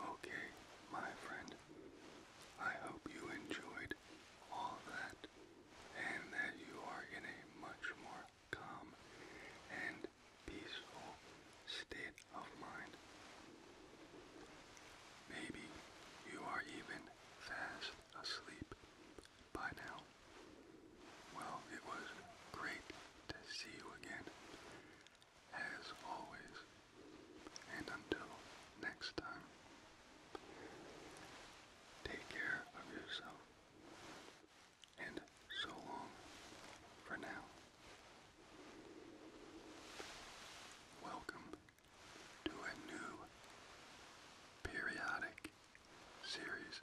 Okay, my friend, I hope you enjoyed all that and that you are in a much more calm and peaceful state of mind. Maybe you are even fast asleep by now. Well, it was great to see you again as always. And until next time, take care of yourself. And so long for now. Welcome to a new periodic series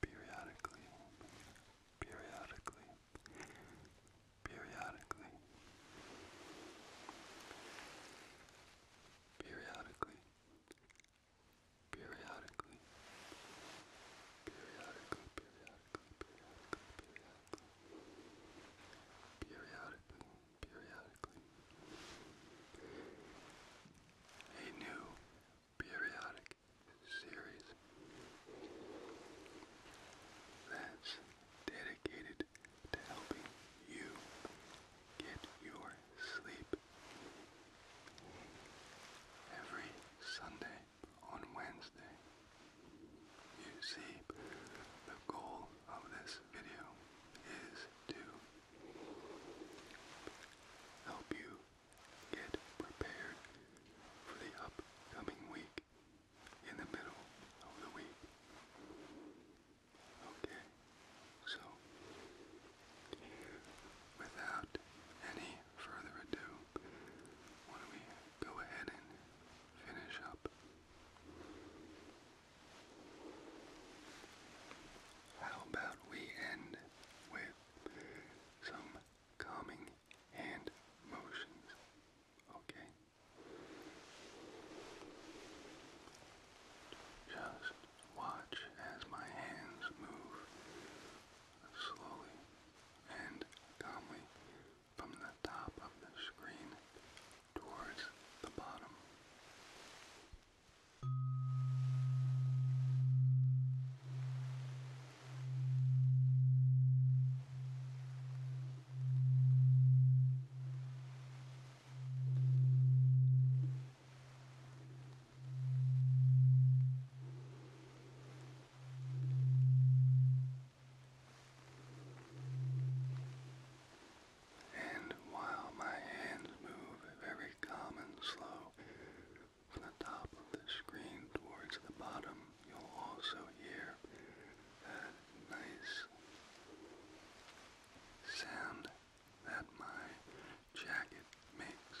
periodically, periodically, periodically, periodically, periodically, periodically, periodically, periodically, periodically, A new periodic series that's dedicated to helping you get your sleep. Every Sunday on Wednesday, you see, the goal of this video is to help you Get prepared for the upcoming week in the middle of the week. Okay, so without any further ado, why do go ahead and finish up? How about we end with some calming and motions. Okay? Just watch as my hands move slowly and calmly from the top of the screen towards the bottom. And while my hands move very calm and slow, from the top of the screen towards the bottom, you'll also hear that nice sound that my jacket makes.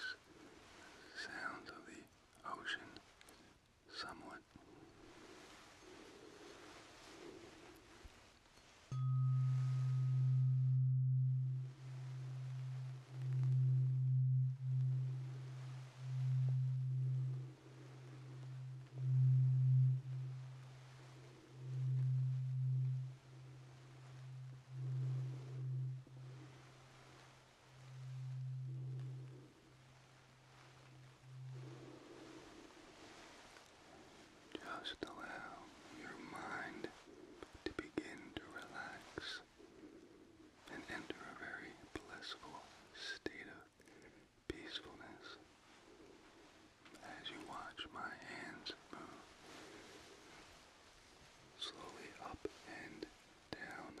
Sounds of the ocean, somewhat. Just allow your mind to begin to relax and enter a very blissful state of peacefulness as you watch my hands move slowly up and down.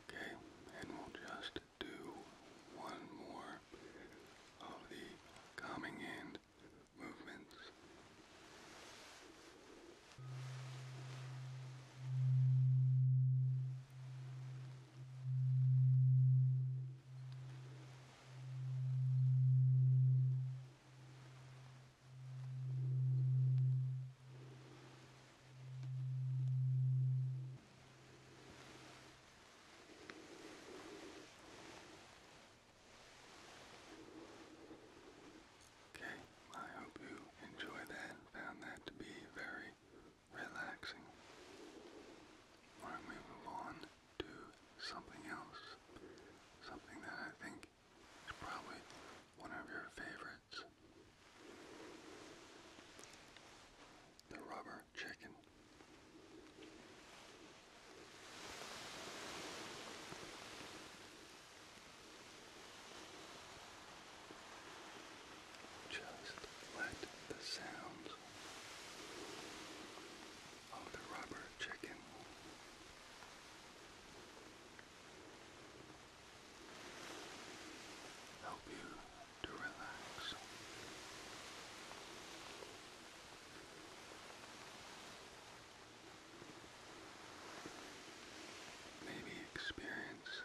Okay, and we'll just do one more of the calming hand movements. Okay, I hope you enjoy that found that to be very relaxing. Why we move on to something else? Something that I think is probably one of your favorites. The rubber chicken. Just let the sounds of the rubber chicken help you to relax. Maybe experience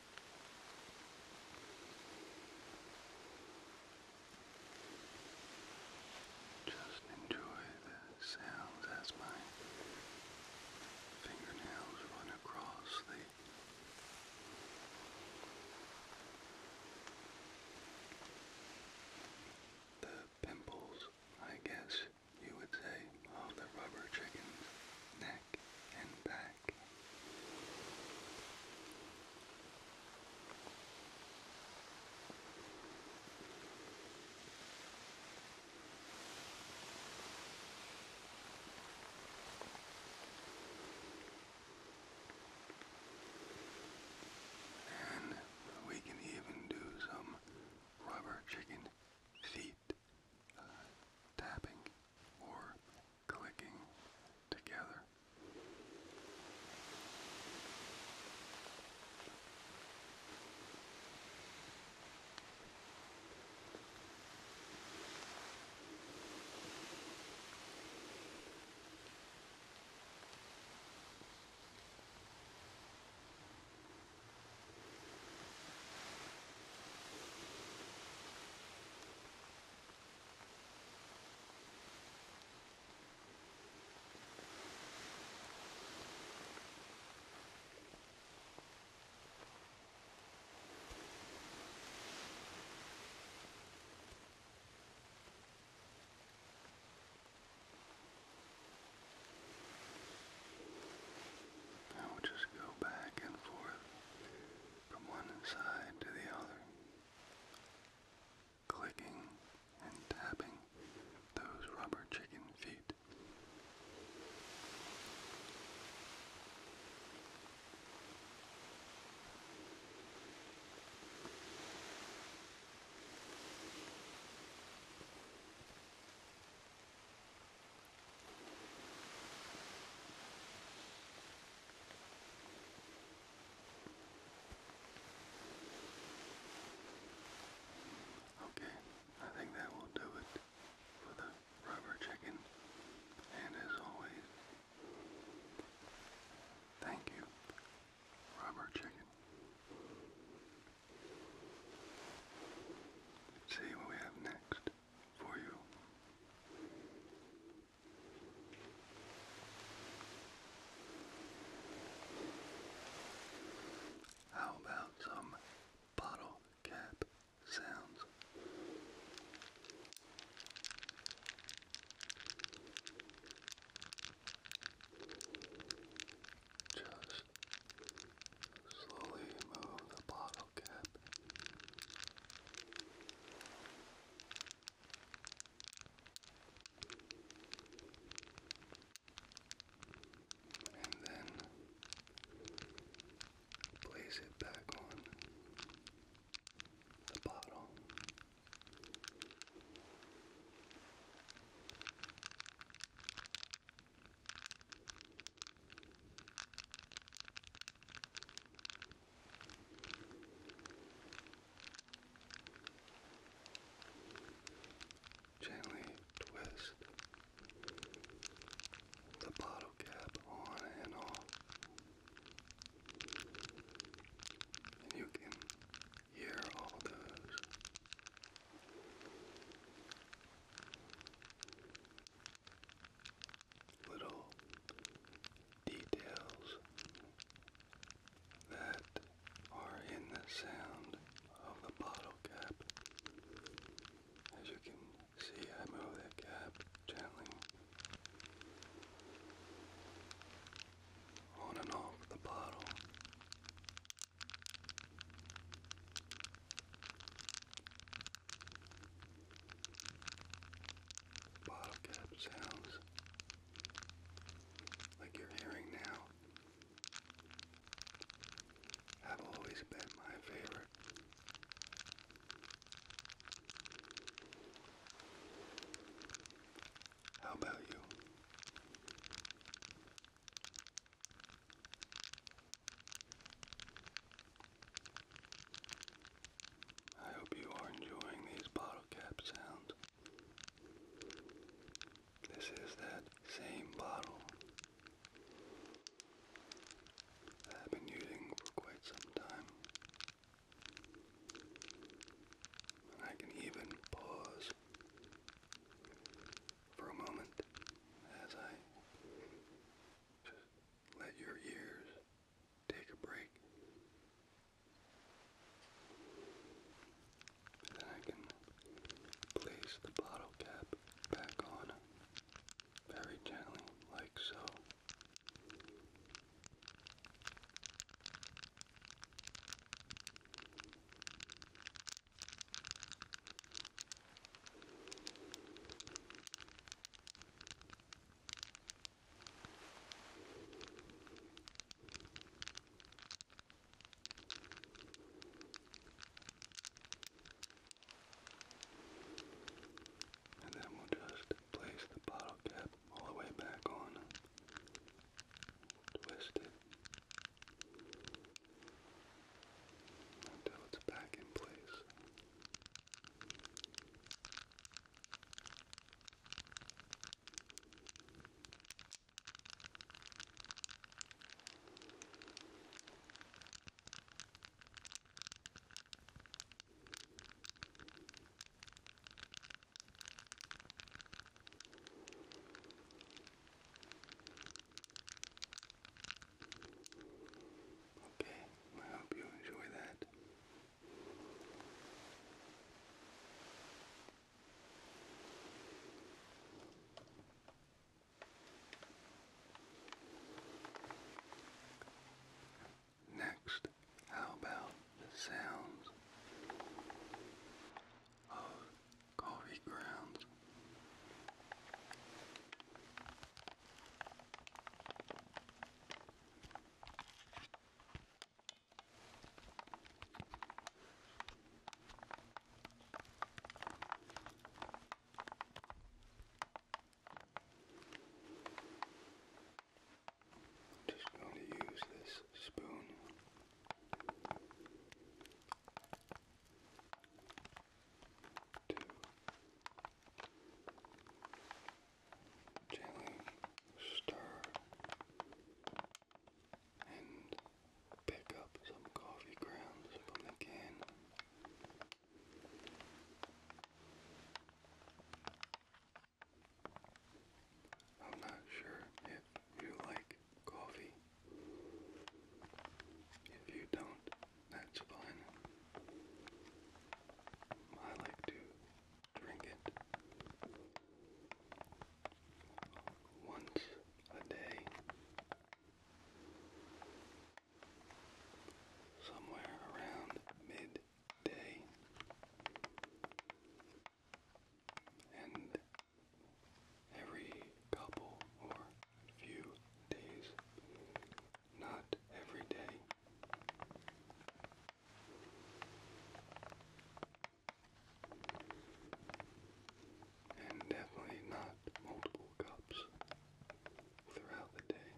Just enjoy the sounds as my fingernails run across the the pimples, I guess you would say, of the rubber chicken's neck and back back. And we can even do some rubber chicken feet uh, tapping or clicking together. Now we'll just go back and forth from one side to the other clicking and tapping those rubber chicken feet. Okay, I think that will do it for the rubber chicken. And as always, thank you, rubber chicken. see what we have next for you. How about some bottle cap sounds? Just slowly move the bottle cap and then place it back on the bottle. Gently twist the bottle cap on and off. And you can hear all those little details that are in the sound of the bottle cap. As you can see, I move that cap gently on and off the bottle bottle cap sounds like you're hearing now have always been my favorite. How about you? I hope you are enjoying these bottle cap sounds. This is that same bottle I've been using for quite some time. And I can even pause for a moment as I just let your ears take a break. Then I can place the bottle cap back on very gently, like so. And then we'll just place the bottle cap all the way back on, twist it until it's back in place. Okay, I hope you enjoy that. Next, how about the sounds of coffee grounds? Just going to use this spoon. To gently stir and pick up some coffee grounds from the can. I'm not sure if you like coffee. If you don't, that's fine. I like to drink it once a day somewhere around midday and every couple or few days not every day. And definitely not multiple cups throughout the day.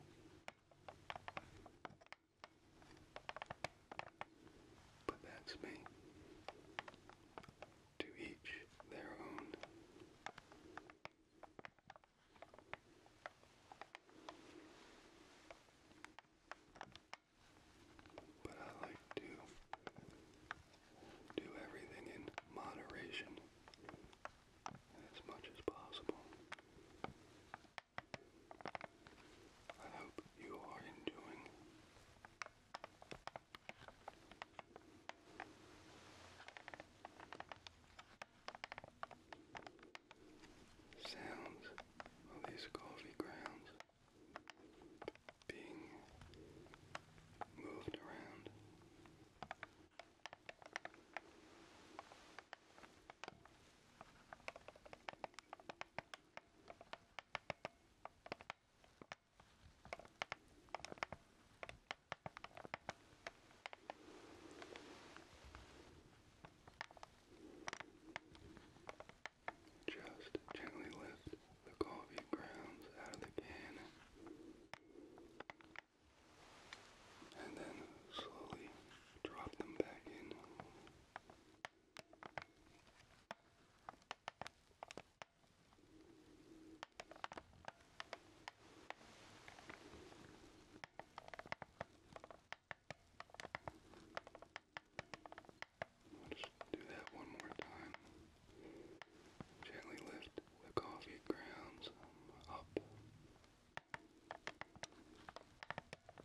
But that's me. To each their own. But I like to do everything in moderation as much as possible. I hope you are enjoying sounds of these coffee grounds being moved around. Just gently lift the coffee grounds out of the can and then slowly drop them back in. Just do that one more time. Gently lift the coffee grounds um, up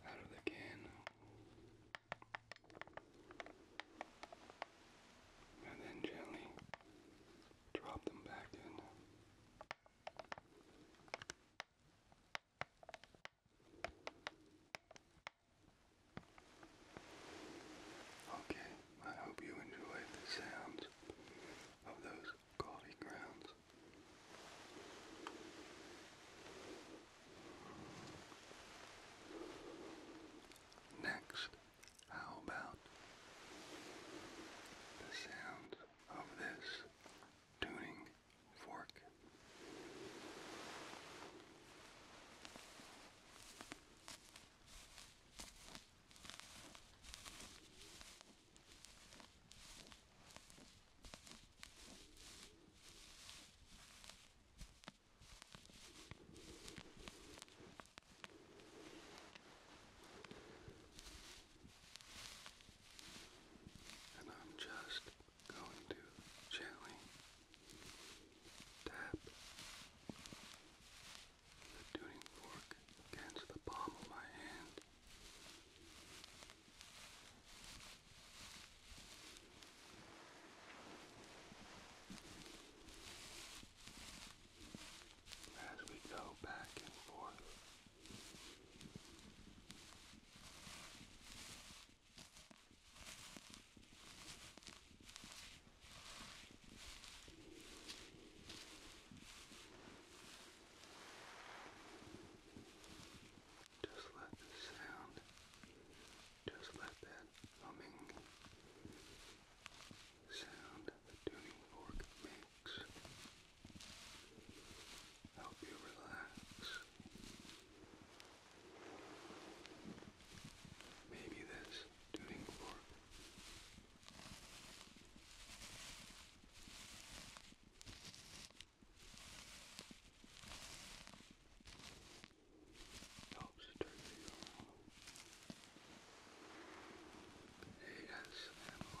out of the can. And then gently drop them back in. Okay, I hope you enjoyed the sounds of those coffee grounds. Next, how about the sound of this tuning fork and I'm just going to gently tap the tuning fork against the palm of my hand. As we go back and forth just let the sound, just let that humming sound the tuning fork makes help you relax. Maybe this tuning fork helps turn you ASMR.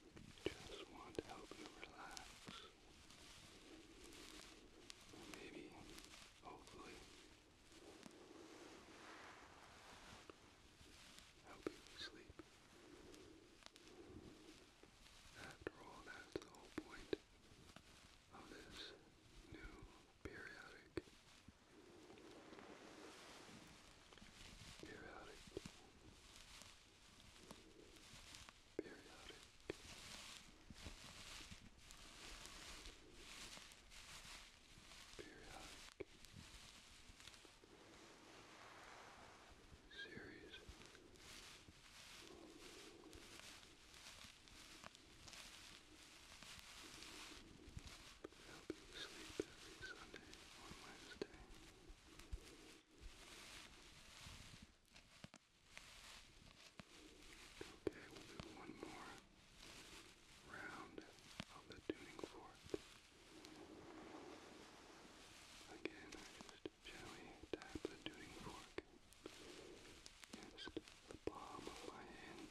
Just want to help you relax. maybe, hopefully, help you sleep. After all, that's the whole point of this new periodic. Periodic periodic periodic series help you sleep every Sunday on Wednesday Okay, we'll do one more round of the tuning fork. Again, I just gently tap the tuning fork against the palm of my hand.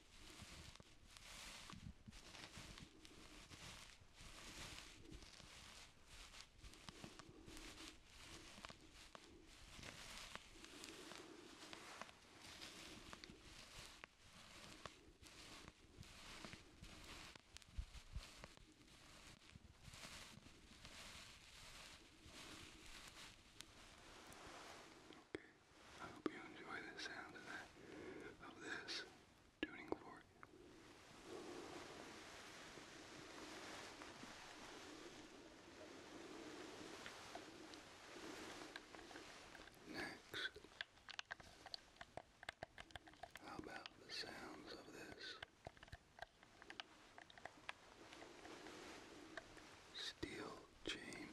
I hope you enjoy the sound of that, of this tuning for you. Next, how about the sounds of this steel chain?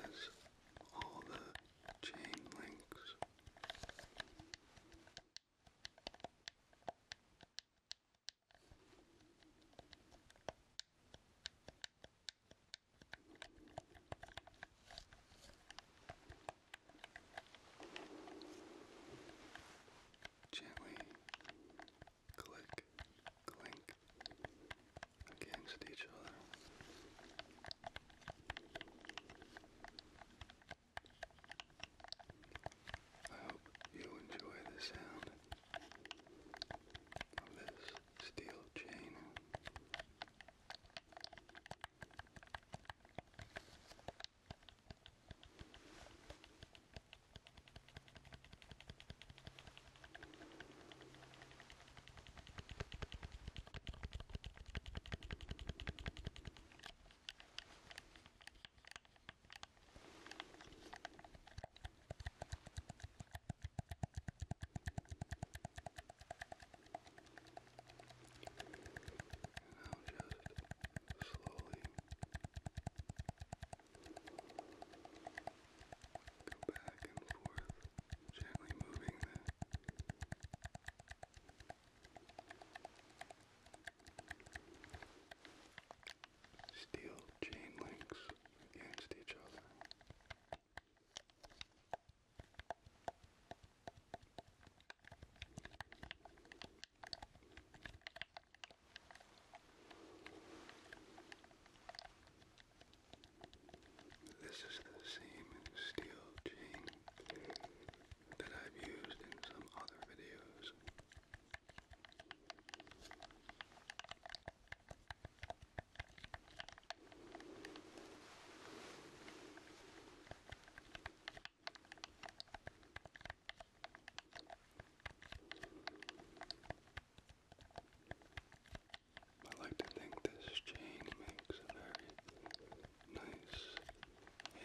has all the chain links. Gently click, clink against each other. I hope you enjoy the sound of this steel chain. And now just slowly Go back and forth, gently moving that. Steel chain links against each other. This is the same steel chain that I've used in some other videos. I like to think this chain makes a very nice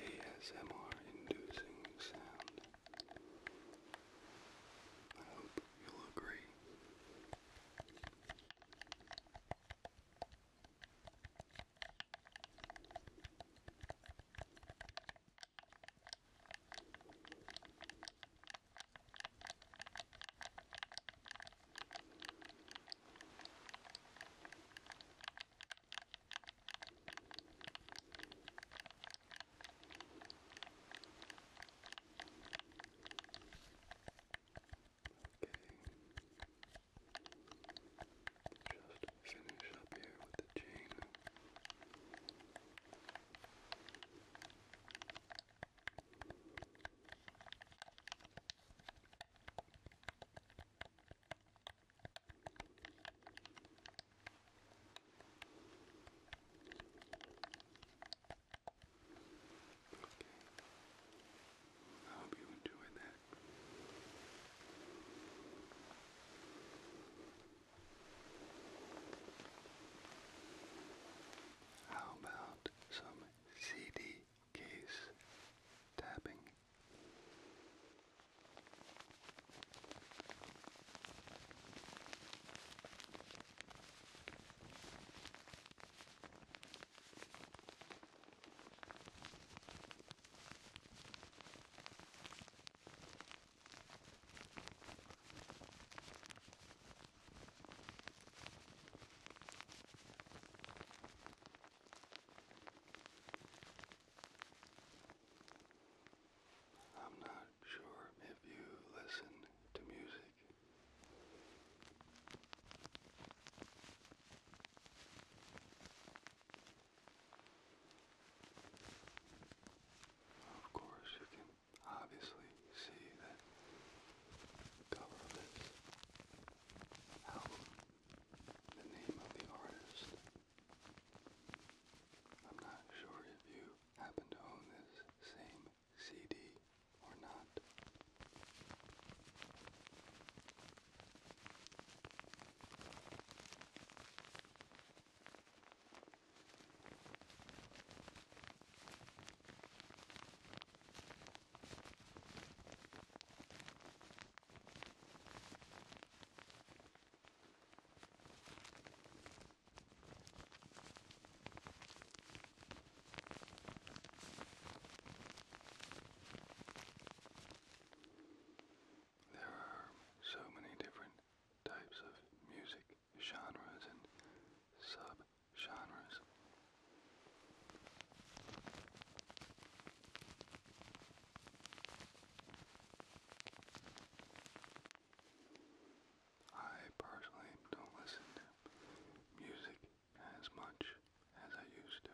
ASMR inducing sound. I hope you'll agree. Just finish up here with the chain. I hope you enjoyed that. How about some CD case tapping? I'm not sure if you listen to music. Of course, you can obviously see that the cover of this album, the name of the artist. I'm not sure if you happen to own this same CD or not. There are so many different types of music genres and sub-genres. I personally don't listen to music as much as I used to.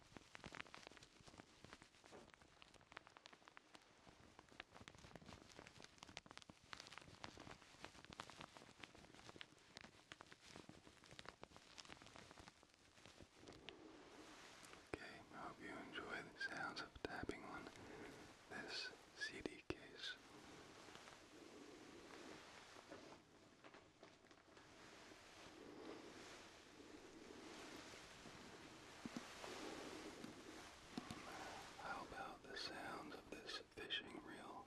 Okay, I hope you enjoy the sounds of tapping on this CD case. How about the sounds of this fishing reel?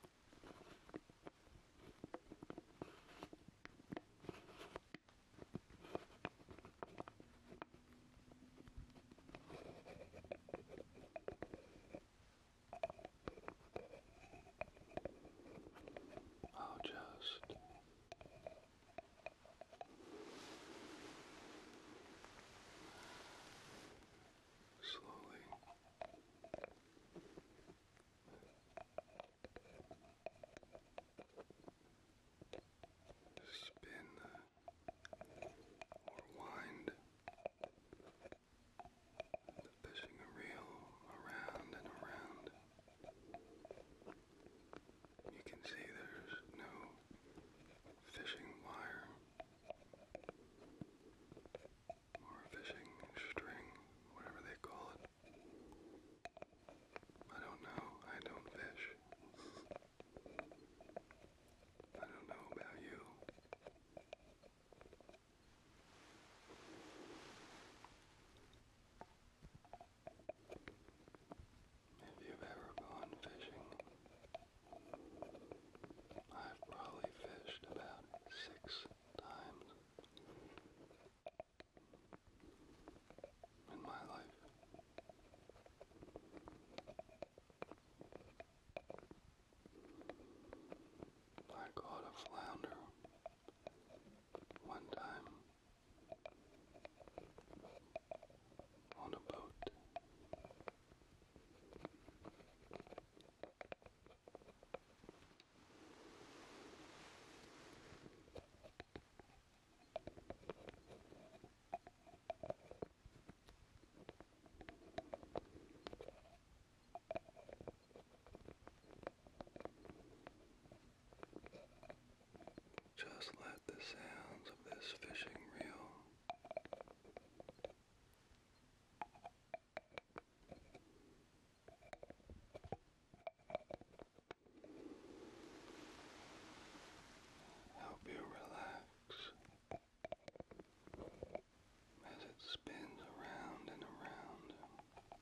I'll just slowly spin or wind pushing a reel around and around. You can see there's no fishing wire or fishing string, whatever they call it. I don't know. I don't fish. I don't know about you. If you've ever gone fishing, I've probably fished about six times in my life. I caught a flounder one time on a boat, just let the sounds of this fishing reel help you relax as it spins around and around.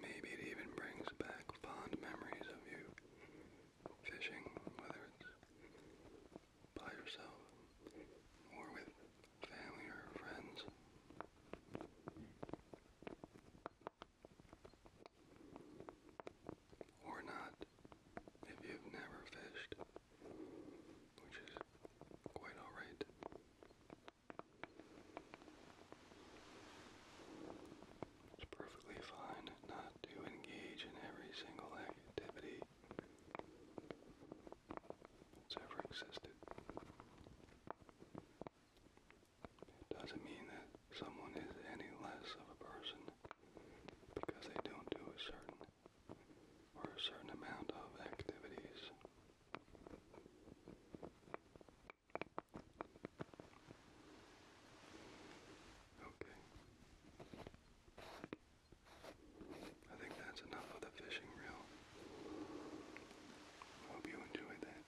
Maybe it even brings back fond memories of you fishing, whether it's by yourself or with family or friends. Or not, if you've never fished, which is quite alright. It's perfectly fine not to engage in every single activity that's ever existed. It doesn't mean that someone is any less of a person because they don't do a certain or a certain amount of activities. Okay. I think that's enough of the fishing reel. Hope you enjoyed that.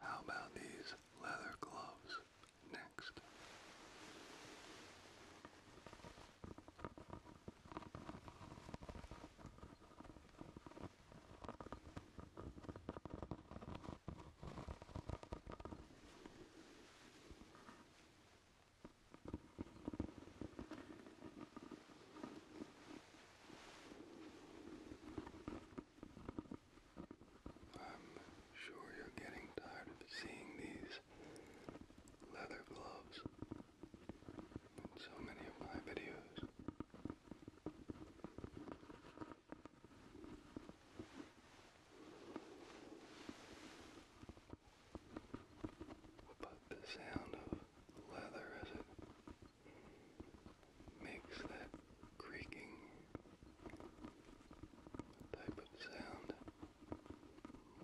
How about these leather gloves next? I'm sure you're getting tired of seeing these leather gloves in so many of my videos. But the sound of leather as it makes that creaking type of sound,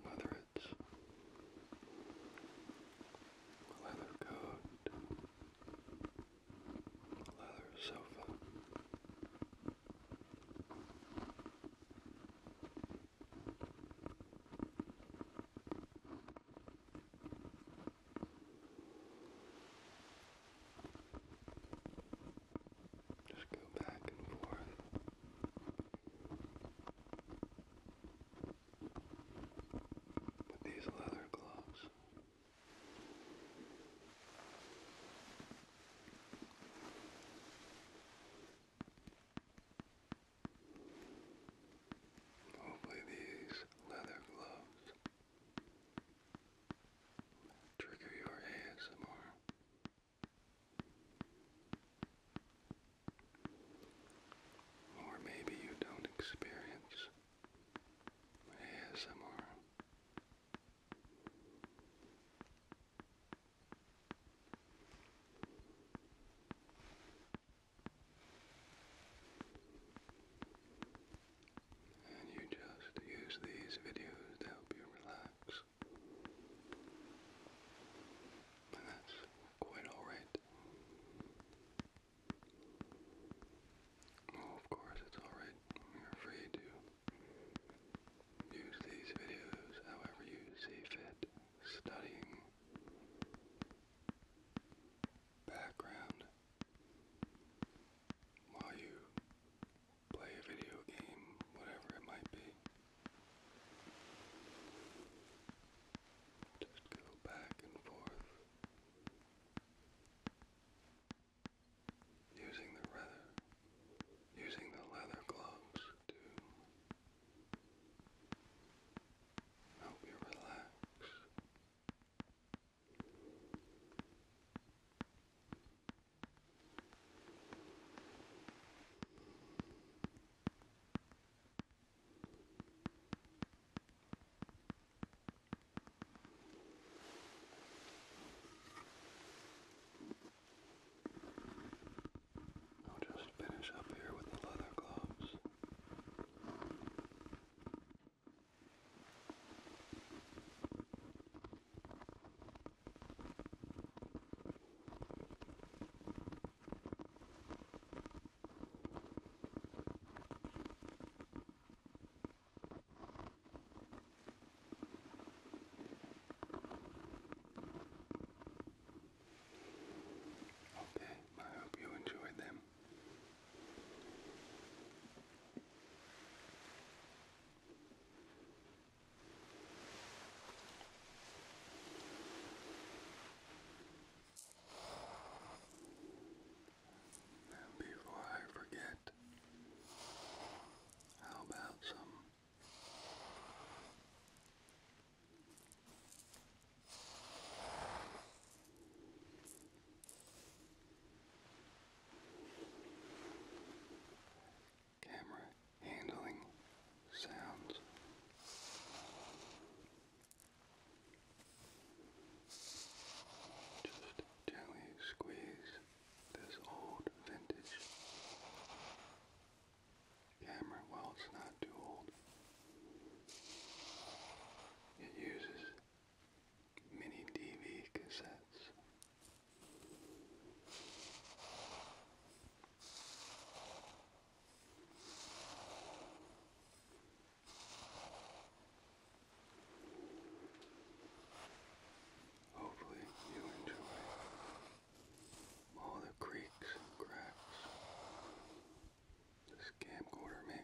whether it's leather coat, leather sofa. Just go back and forth. With these leather gloves. Hopefully these leather gloves trigger your ASMR. Or maybe you don't experience ASMR. And you just use these videos to help you relax. And that's quite alright. Well, oh, of course, it's alright. you free to use these videos however you see fit. Studying, background, while you play a video game, whatever it might be. Just go back and forth using the leather, using the leather gloves to help you relax. I'll just finish up here with the leather gloves. Okay, I hope you enjoyed them. And before I forget, how about some Camera handling sounds. Just gently squeeze this old vintage camera. Well, it's not too old. It uses mini DV cassettes. Hopefully, you enjoy all the creaks and cracks this camcorder makes.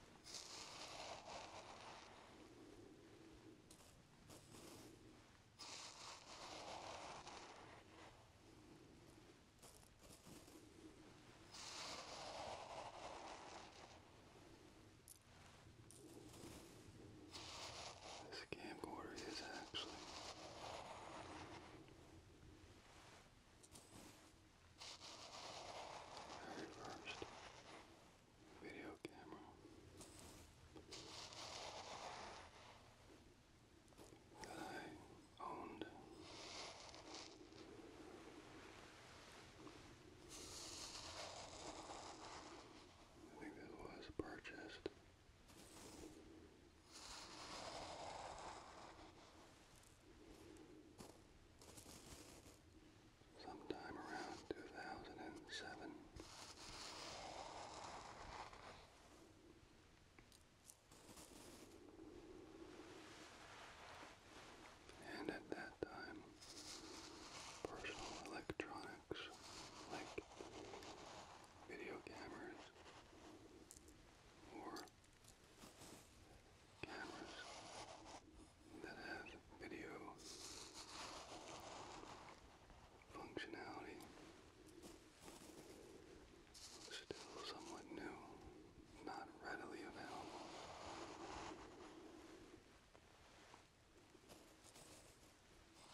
This camcorder is actually very first video camera that I owned. I think it was purchased sometime around 2007. And at that time, personal electronics like video cameras or cameras that has video functionality. Still somewhat new, not readily available.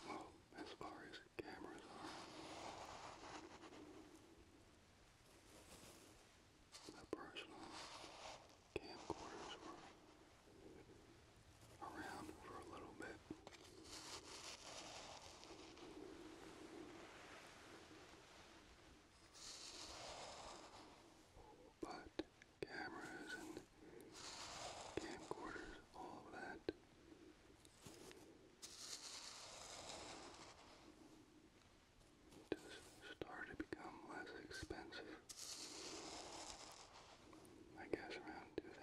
Well, as far as cameras are personal camcorders were around for a little bit. But cameras and camcorders, all of that to start to become less expensive. I guess around 2000,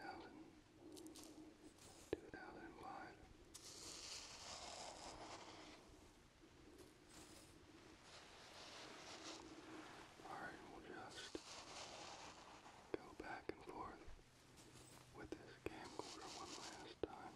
Alright, we'll just go back and forth with this camcorder one last time.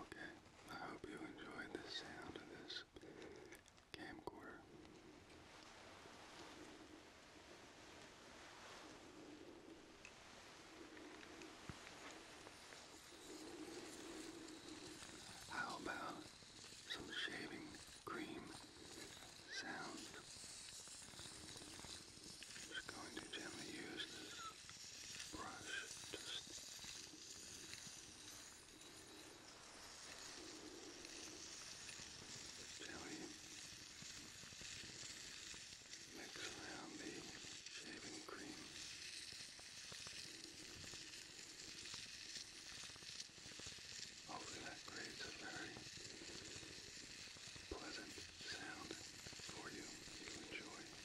Okay, I hope you enjoyed the sound of this camcorder. How about some shaving cream sound. I'm just going to gently use this brush just gently mix around the shaving cream. Hopefully oh, that creates a very pleasant sound for you. You enjoy. Now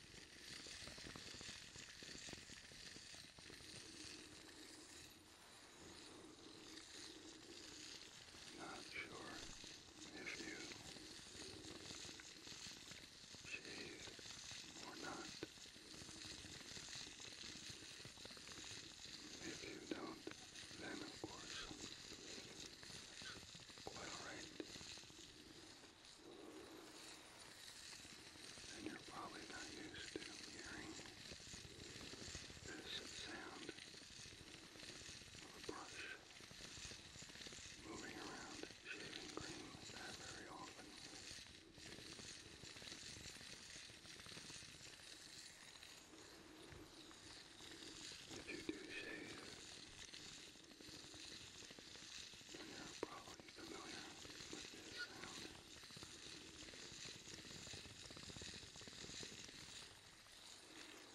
Not sure if you shave or not. If you don't, then of course, that's quite alright and you're probably not used to hearing this sound of a brush moving around shaving cream that very often. If you do shave, you're probably familiar with this sound. Well, we just go back and forth with the same green.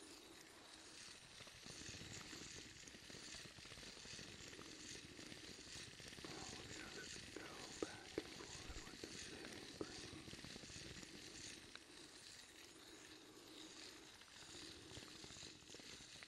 Now,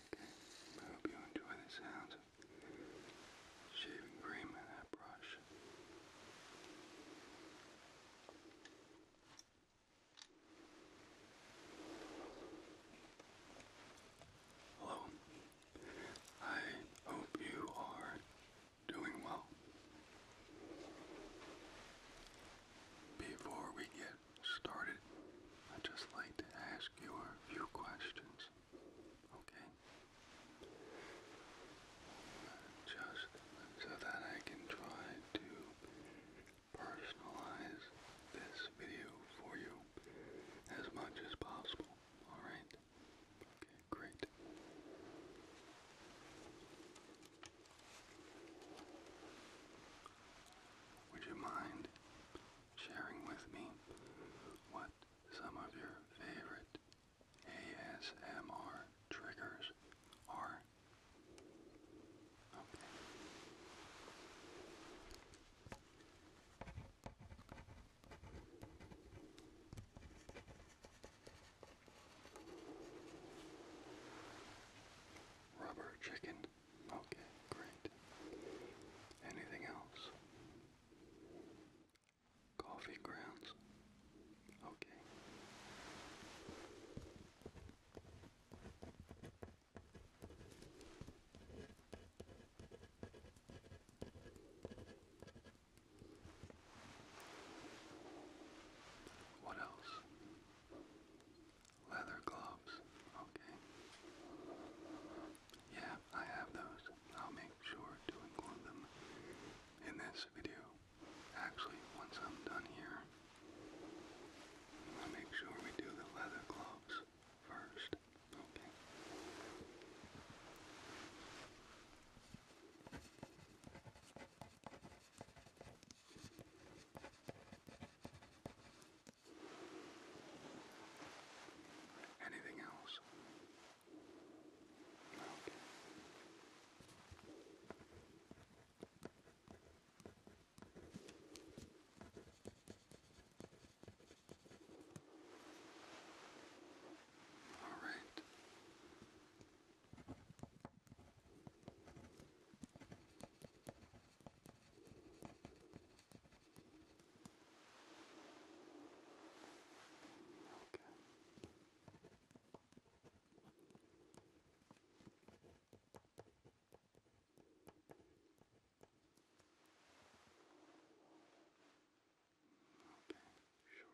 I hope you enjoy the sounds of shaving cream and that brush. Hello, I hope you are doing well. Before we get started, I'd just like to ask you a few questions. Okay? Just so that I can try to personalize this video for you as much as possible. Alright? Okay, great. Would you mind sharing with me what some of your favorite ASMR triggers are. Rubber chicken. Okay, great. Anything else? Coffee grounds. Okay. What else? Leather gloves. Okay. Yeah, I have those. I'll make sure to include them in this video. Actually, once I'm done here, I'm make sure we do the leather gloves first. Okay. Anything else? Okay. All right. Okay. Okay, sure.